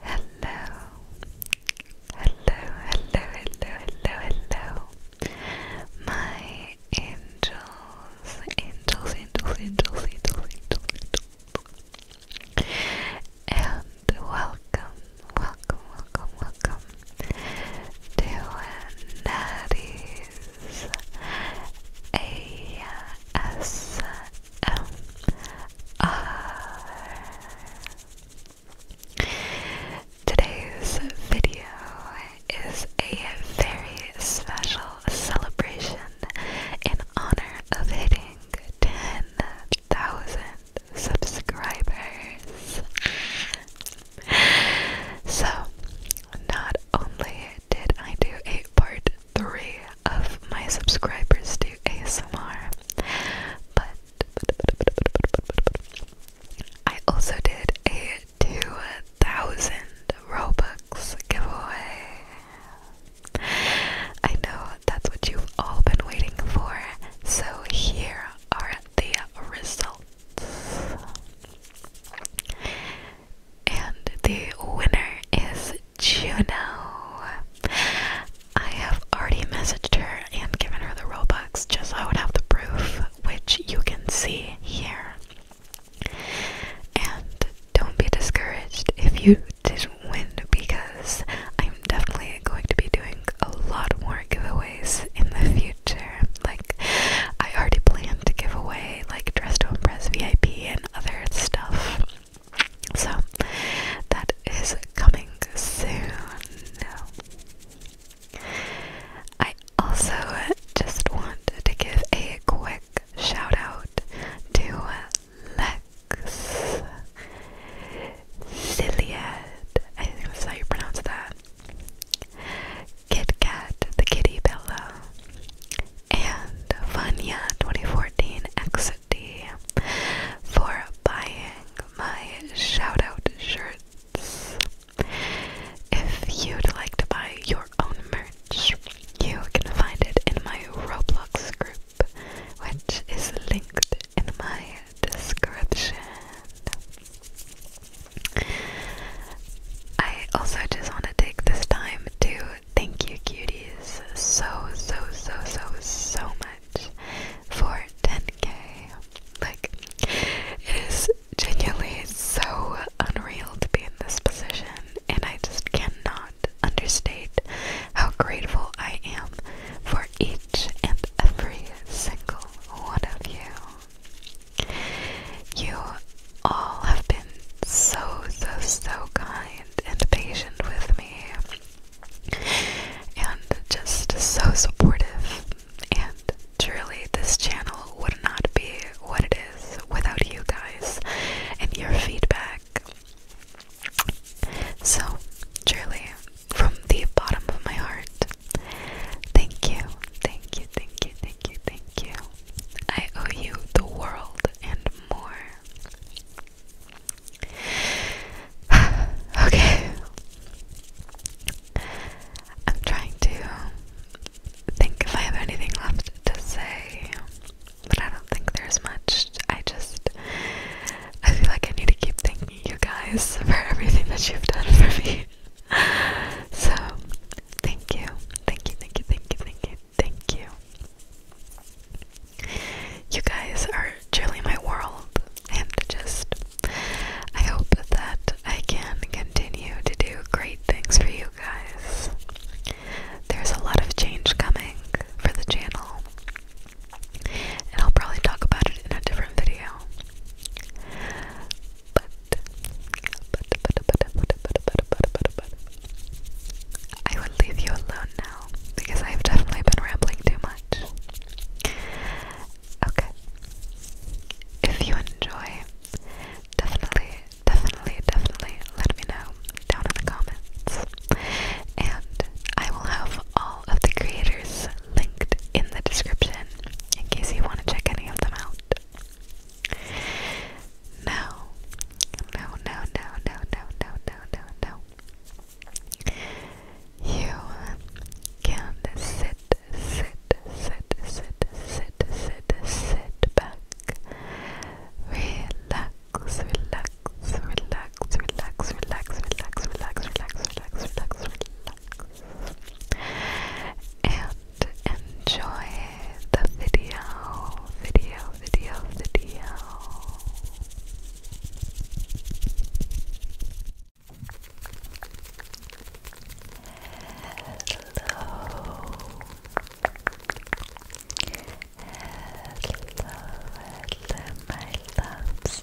Hello. Hello, hello, hello, hello, hello. My angels, angels, angels, angels, angels, angels, And welcome, welcome, welcome, welcome to Natty's AM S M R. Today's video is a very special celebration in honor of hitting 10,000 subscribers. So, not only did I do a part 3 of my subscribers do ASMR, but, I also did a 2,000 Robux giveaway. I know that's what you've all been waiting for, so here are the results and the winner is Juno. I have already messaged her and given her the Robux just so I would have the proof, which you can see here. And don't be discouraged if you didn't win because I'm definitely going to be doing a lot more giveaways in the future. Like, I already plan to give away like Dress to Impress VIP and other stuff so that is coming soon. I also just want to give a quick shout out to Lex Ciliad, I think that's how you pronounce that. Kit Kat, the kitty pillow and Vanya 2014 XD for buying my shoutout shirts. If you'd like to buy your own merch, you can find it in my Roblox group, which is linked in my description. I also just want to take this time to thank you, cuties, so, so, so, so, so much for 10k. Like, it is genuinely so unreal to be in this position, and I just cannot understate how grateful I am for each and every single one of you. You all have been so, so, so kind and patient with me and just so supportive. And truly, this channel would not be what it is without you guys and your feedback. So, truly, from the bottom of my heart, thank you, thank you, thank you, thank you, thank you. I owe you the world and more. okay. I'm trying to think if I have anything left to say, but I don't think there's much. I just, I feel like I need to keep thanking you guys for everything that you've done for me. so, thank you. Thank you, thank you, thank you, thank you, Thank you. You guys are truly my world, and just I hope that I can continue to do great things for you guys. There's a lot of change coming for the channel, and I'll probably talk about it in a different video. But, but, but, but, but, but, but, but, but, I will leave you alone now because I've definitely been rambling too much. Okay. If you enjoy, definitely, definitely, definitely let me know down in the comments. And I will have all of the creators linked in the description in case you want to check any of them out. No. No, no, no, no, no, no, no, no, no. You can sit, sit, sit, sit, sit, sit, sit back. Relax, relax, relax, relax, relax, relax, relax, relax, relax, relax, relax. And enjoy the video, video, video, video. Hello. Hello, hello, my loves,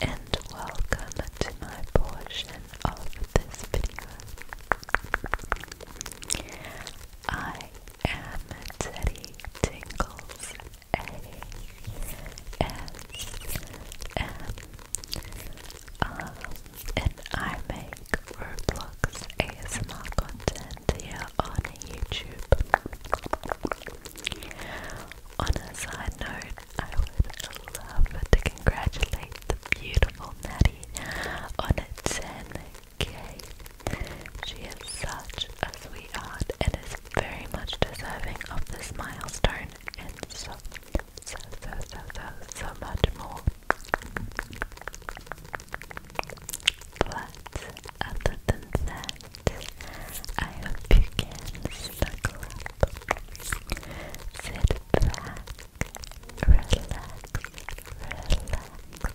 and welcome to my portion of this video. I Amity Tingles A S M and I make Roblox ASMR content here on YouTube. On a side note, I would love to congratulate the beautiful Natty on a 10 she is such a sweetheart and is very much deserving of this milestone and so, so, so, so, so, much more. But other than that, I hope you can snuggle sit back, relax, relax,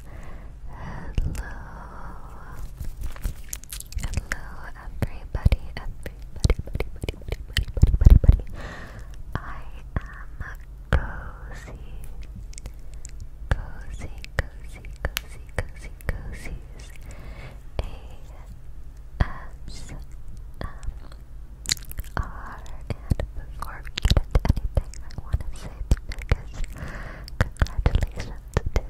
Hello everybody, everybody, buddy, buddy, buddy, buddy, buddy, buddy, buddy. I am cozy. Cozy, cozy, cozy, cozy, cozies. A S M R and before we get anything I wanna say the biggest Congratulations to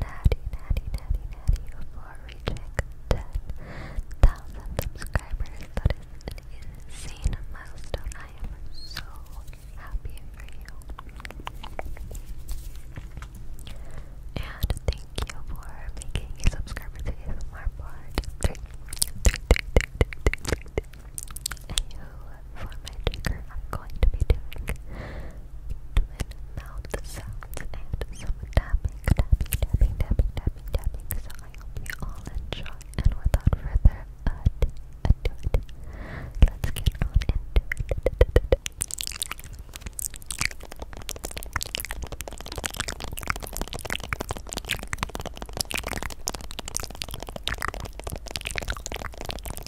Natty, Natty, Natty, Natty for reaching 10,000 subscribers. That is an insane milestone. I am so happy for you. And thank you for making a subscriber to ASMR part. AO for my trigger, I'm going to be doing twin mouth sounds and some tapping, tapping, tapping, tapping, tapping, So I hope you all enjoy. And without further ado, let's get on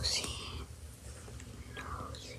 Nosy, nosy,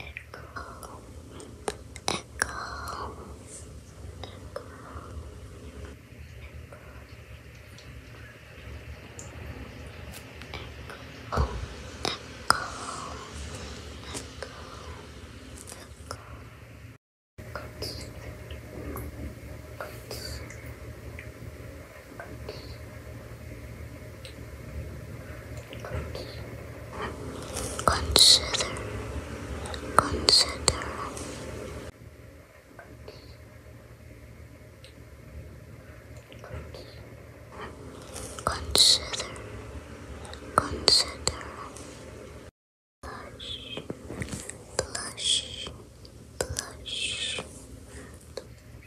Echo go, let go, let go, let Consider, consider. Consider, Consider, consider, blush, blush, blush, blush, blush, blush.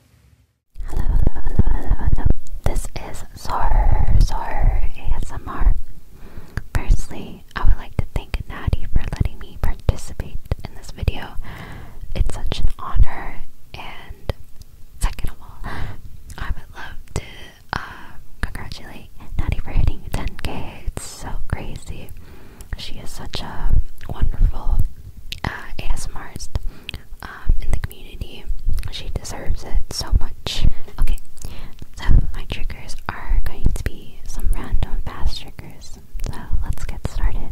Hello, hello, hello, hello, This is Zor, Zor ASMR. Firstly, I would like to thank Natty for letting me participate in this video. It's such an honor, and second of all, I would love to uh, congratulate Natty for hitting 10k. It's so crazy. She is such a wonderful uh, ASMRist um, in the community. She deserves it so much. Okay, so my triggers are going to be some random fast triggers. So let's get started.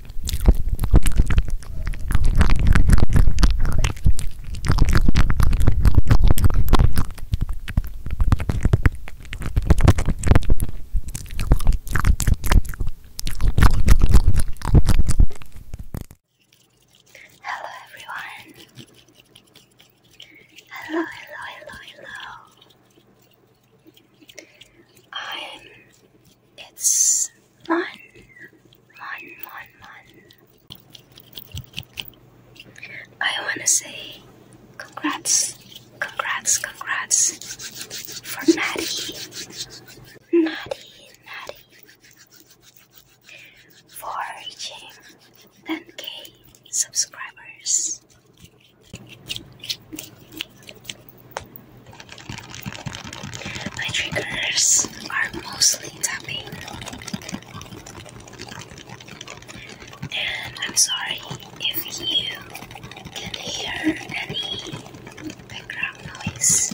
Hello everyone. Hello, hello, hello, hello. I'm it's Mon, I wanna say congrats, congrats, congrats for Maddie, Maddie, Maddie, for reaching 10k subscribers. My triggers are mostly tapping. And I'm sorry if you can hear any background noise.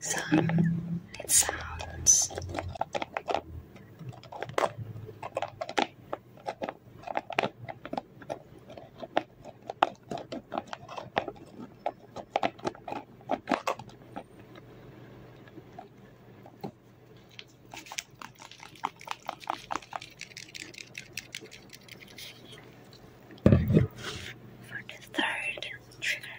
Some it sounds. For the third trigger,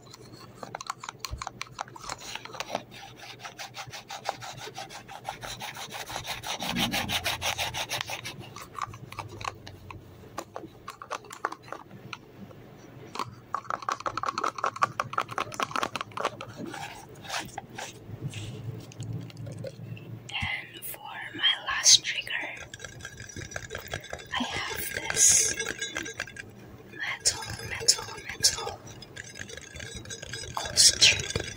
And for my last trigger, I have this metal, metal, metal, concentrate,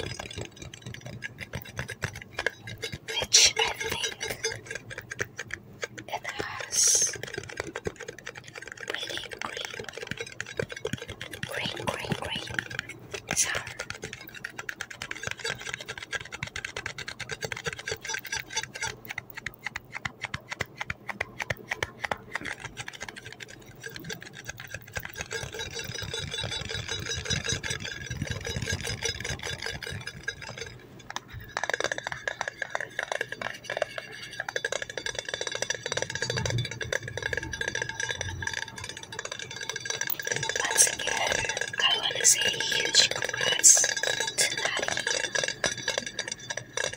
which I think it has really green, green, green, green once again, I want to say huge congrats to Natty.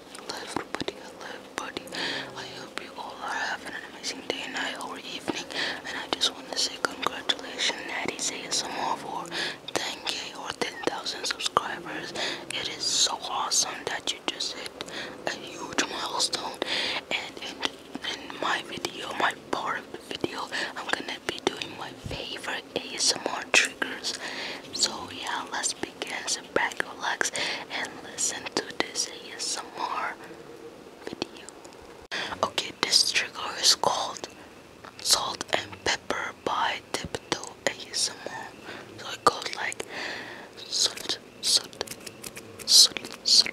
Hello everybody, hello everybody. I hope you all are having an amazing day, night, or evening. And I just want to say congratulations, Natty ASMR for 10k or 10,000 subscribers. It is so awesome that you just hit a huge milestone. And in, in my video, my part of the video, I'm gonna be doing my favorite ASMR triggers. So yeah, let's begin to back, relax, and listen to this ASMR video. Okay, this trigger is called Salt and Pepper by Tiptoe ASMR. So it goes like salt, salt, salt, salt, salt.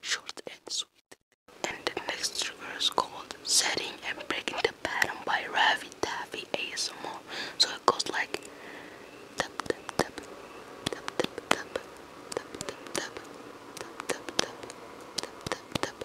Short and sweet. And the next trigger is called Setting and Breaking the Pattern by Ravi Taffy ASMR. So it goes like tap tap tap tap tap tap tap tap tap tap tap tap tap tap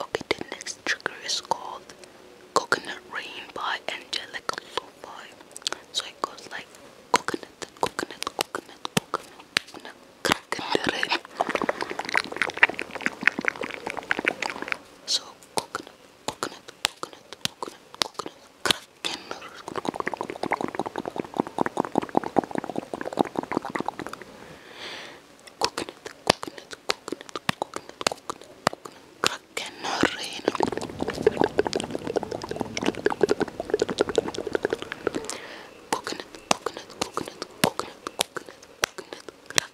Okay, the next trigger is called Coconut Rain by Angelica Lo-Fi. So it goes like coconut, coconut, coconut, coconut, coconut, coconut, coconut, coconut, coconut, coconut, coconut, coconut, So coconut, coconut, coconut, coconut, coconut, kraken. Coconut, coconut, coconut, coconut, coconut, coconut, kraken noriin. Coconut, coconut, coconut, coconut, coconut, coconut, kraken.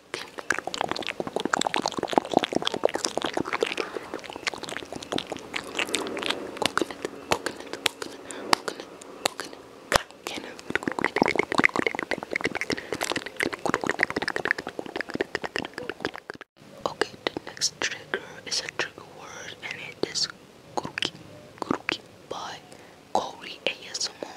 Okay, the next trigger is a trigger word, and it is Kuruki Kuruki by Corey ASMR.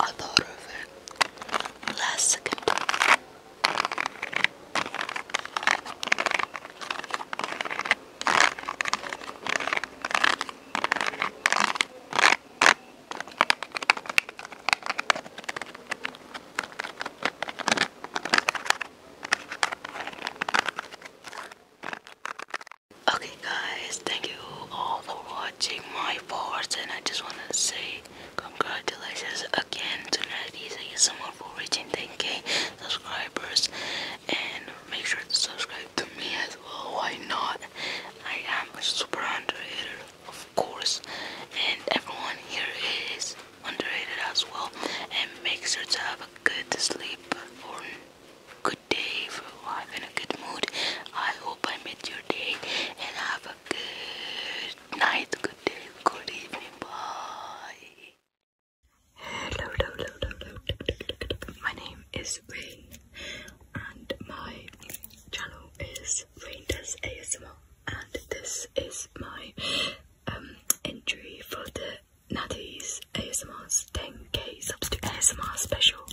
I thought of it last second. Okay guys, thank you all for watching my parts and I just want to say congratulations again to Nadisa Isama for reaching 10k subscribers and make sure to subscribe to me as well. Why not? I am a super underrated, of course, and everyone here is underrated as well. And make sure to have a good sleep or good day if you're in a good mood. I hope I made your day and have a good night, good day, good evening. Bye. Hello, hello, hello, hello. My name is Ray and my channel is Rangers ASMR and this is my um, entry for the Natty's ASMR's 10k subs to ASMR special.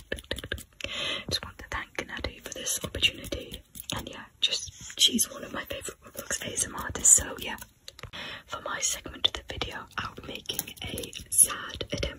Just want to thank Natty for this opportunity and yeah, just she's one of my favourite Roblox ASMR so yeah. For my segment of the video, I'll be making a sad attempt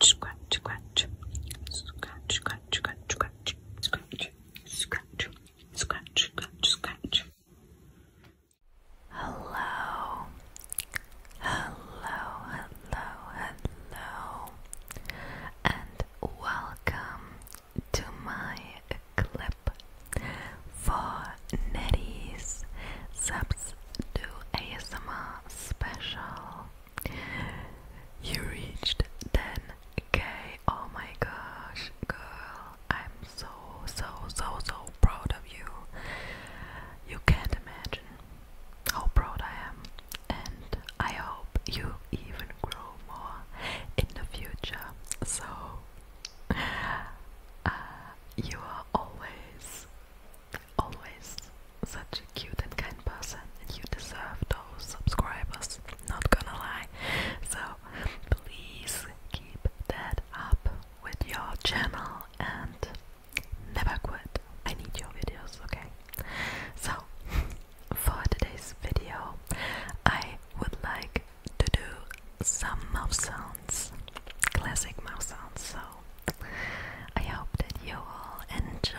scratch, scratch, scratch, scratch, scratch, scratch, scratch, Hello, hello, hello, hello, and welcome to my clip for Nettie's Subs to ASMR special. You reached 10k. Oh my gosh, girl. I'm so, so, so, so proud of you. You can't imagine how proud I am. And I hope you even grow more in the future. So, uh, you are always, always such a cute and kind person, and you deserve those subscribers, not gonna lie. So, please keep that up with your channel and never quit. I need your videos, okay? So, for today's video, I would like to do some mouth sounds, classic mouth sounds. So, I hope that you all enjoy.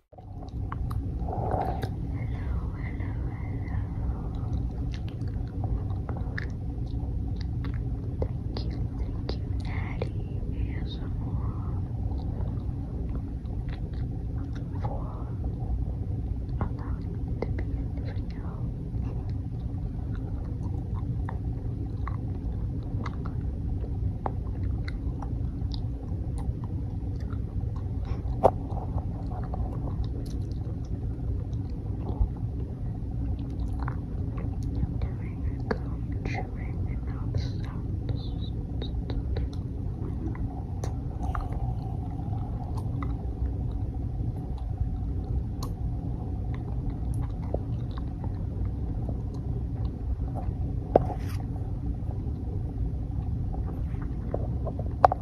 Thank you, thank you, Natty ASMR for allowing me to be in the video doing a comb trimming and mouth sounds.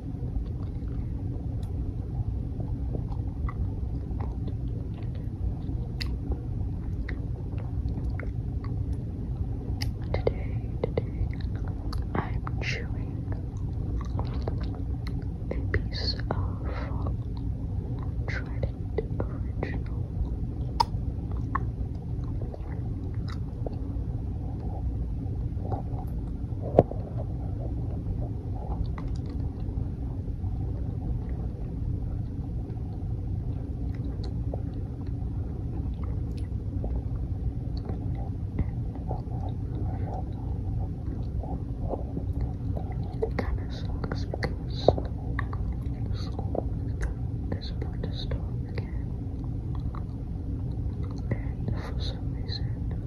Today, today, I'm chewing a piece of Trident Original. It kind of sucks because school is about to start again. And for some reason,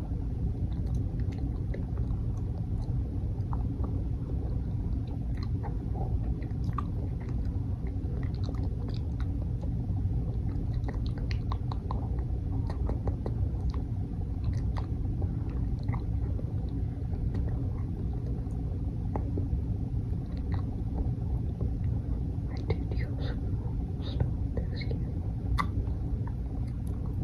I did use stone this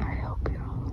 I hope you're all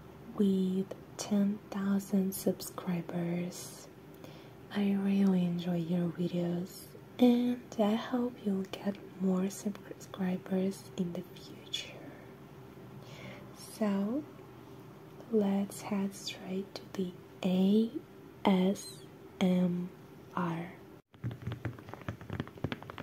with 10,000 subscribers. I really enjoy your videos and I hope you'll get more subscribers in the future. So let's head straight to the ASMR.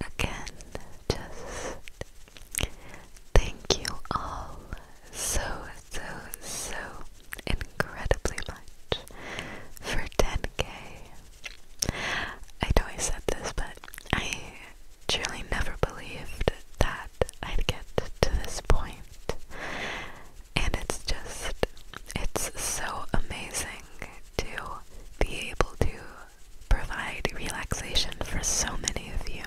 Again, just thank you all so so, so incredibly much for 10k. I know I said this, but I truly never believed that I'd get to this point. And it's just, it's so amazing to be able to provide relaxation for so many of you.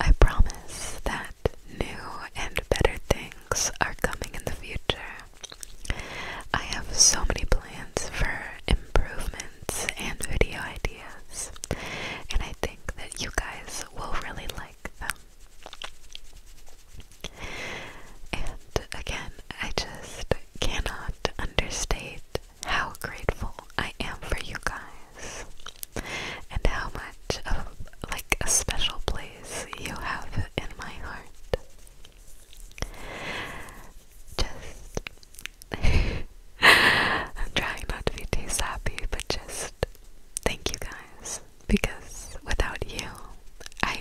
I promise that new and better things are coming in the future. I have so many plans for improvements and video ideas, and I think that you guys will really like them. And again, I just cannot understate how grateful I am for you guys and how much of like a special place you have in my heart. Just I'm trying not to be too sappy, but just thank you guys because without you I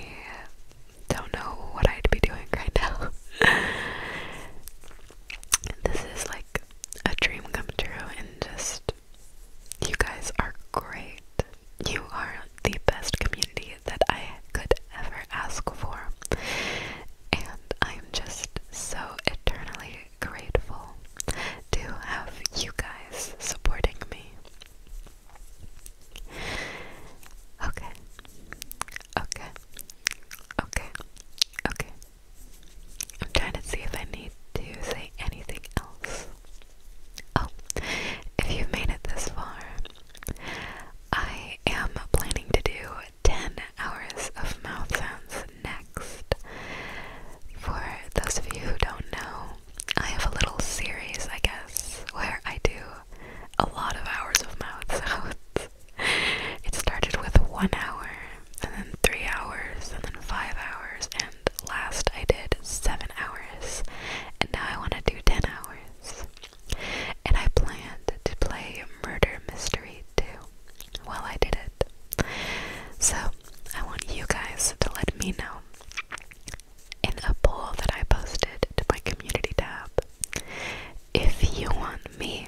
don't know what I'd be doing right now. This is like a dream come true, and just you guys are great. You are the best community that I could ever ask for, and I'm just so eternally grateful to have you guys supporting me. Okay, okay, okay, okay, I'm trying to see if I need to say anything else. Oh, if you've made it this far, I am planning to do 10 hours of mouth sounds next. For those of you who don't know, I have a little series, I guess, where I do a lot of hours of mouth sounds. it started with one hour and then three hours, and then five hours, and last I did seven hours, and now I want to do ten hours. And I planned to play Murder Mystery too. while I did it. So I want you guys to let me know in a poll that I posted to my community tab if you want me